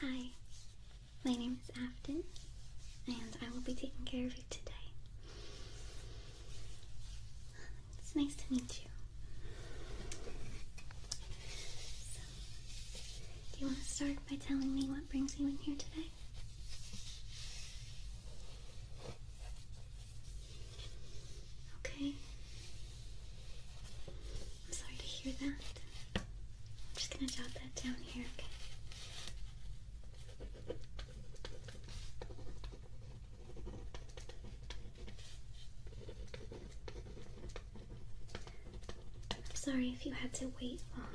Hi, my name is Afton, and I will be taking care of you today. It's nice to meet you. do you want to start by telling me what brings you in here today? Okay. I'm sorry to hear that. I'm just gonna jot that down here, I'm sorry if you had to wait long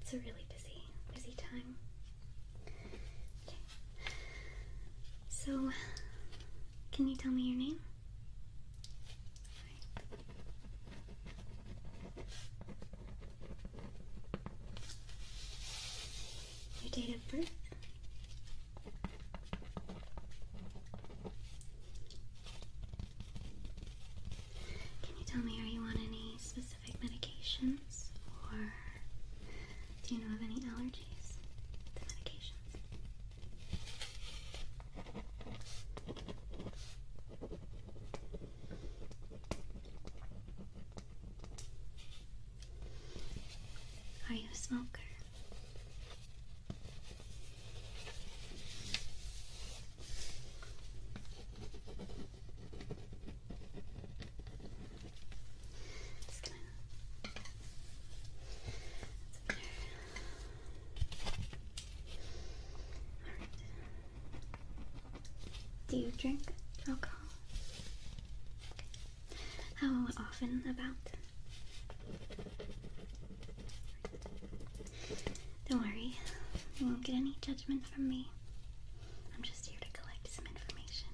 It's a really busy, busy time. So, can you tell me your name? Your date of birth? Can you tell me, are you on any specific medications or do you have any allergies to medications? Are you a smoker? Do you drink alcohol? How often about? Don't worry, you won't get any judgment from me. I'm just here to collect some information.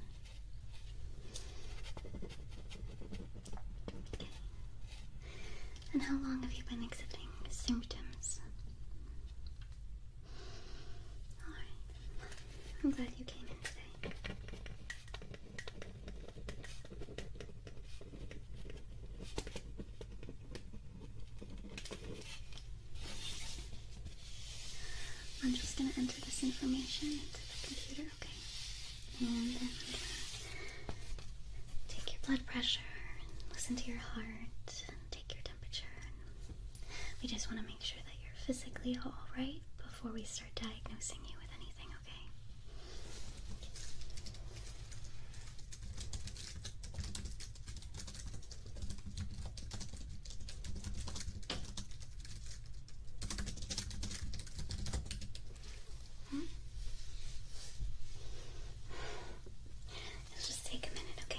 And how long have you been exhibiting symptoms? I'm glad you came in today. I'm just going to enter this information into the computer, okay? And then I'm going to take your blood pressure, and listen to your heart, and take your temperature. We just want to make sure that you're physically all right before we start diagnosing you with anything, okay? Hmm? Let's just take a minute, okay?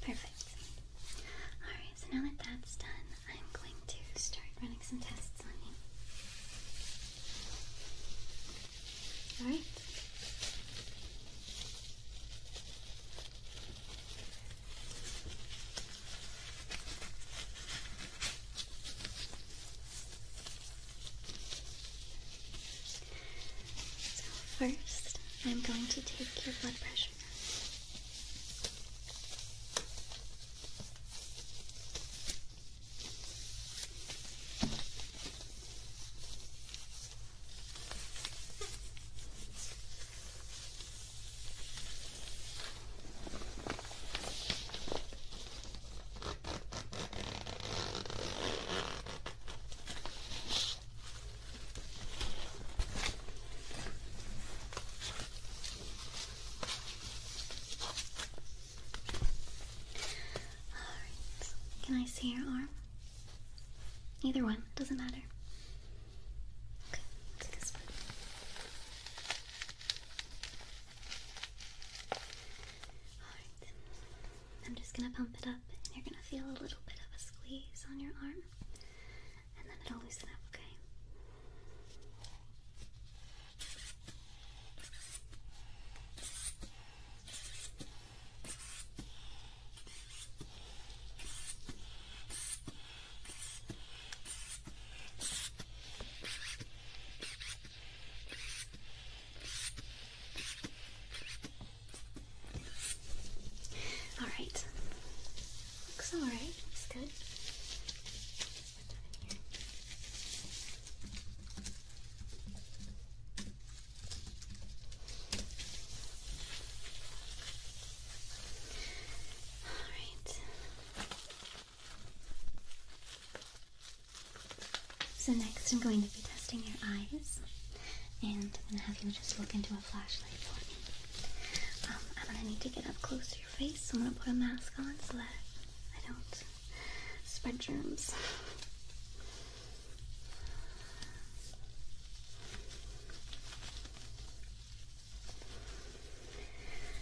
Perfect. Alright, so now that that's done, I'm going to start running some tests on you. Alright? So, first, I'm going to take your blood pressure can I see your arm? Either one, doesn't matter. Okay, this one. Alright. I'm just gonna pump it up, and you're gonna feel a little bit of a squeeze on your arm, and then it'll loosen up, okay? All right. Looks all right. Looks good. All right. So next I'm going to be testing your eyes and I'm going to have you just look into a flashlight for me. I'm going to need to get up close to your face, so I'm going to put a mask on so that I don't spread germs.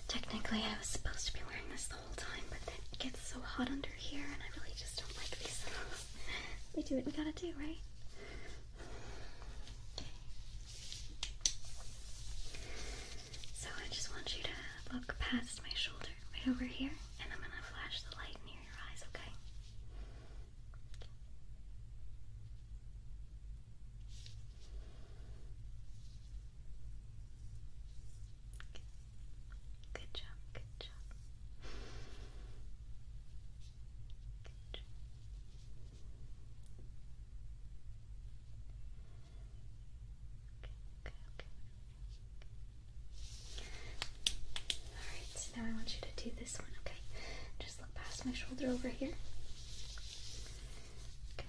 Technically, I was supposed to be wearing this the whole time, but it gets so hot under here, and I really just don't like these we do what we gotta do, right? So I just want you to look past my shoulder, right over here, and I'm gonna flash the light near your eyes, Okay. Good job, good job. Good job. Okay, okay, okay. Alright, so now I want you to do this one, okay? Just look past my shoulder over here. Okay,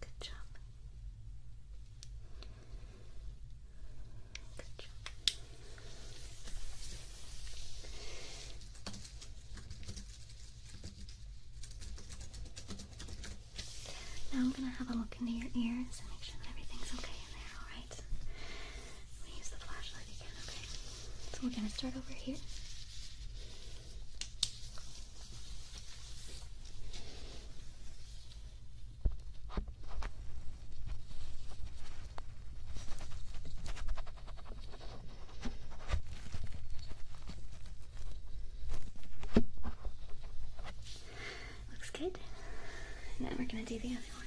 Good job. Good job. Now I'm going to have a look into your ears and make sure that everything's okay in there, so we're gonna start over here. Looks good. Now we're gonna do the other one.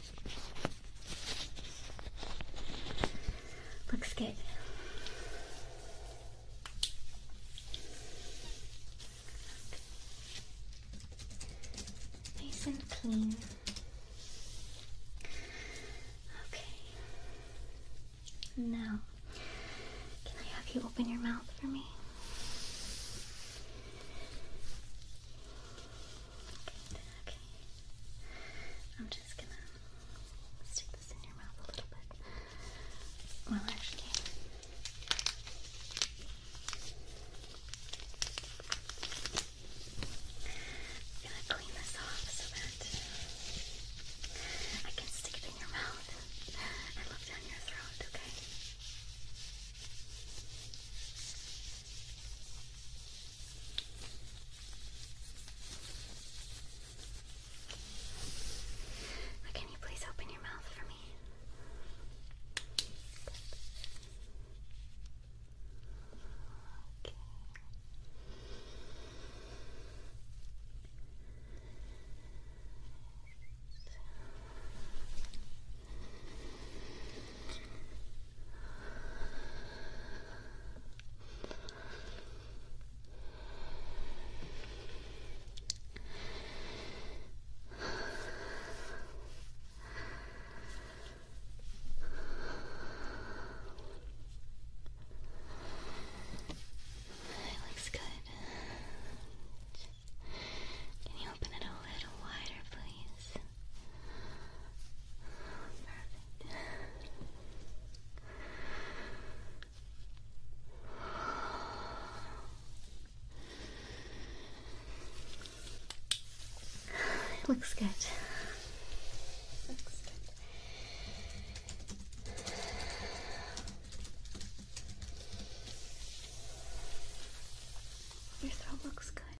Looks good. Nice and clean. Okay. Now, can I have you open your mouth for me? Okay. I'm just gonna stick this in your mouth a little bit. Well, actually. I'm gonna clean this off so that I can stick it in your mouth and look down your throat, okay? Can you please open your mouth for me? It looks good. can you open it a little wider, please? It Looks good. Your throat looks good.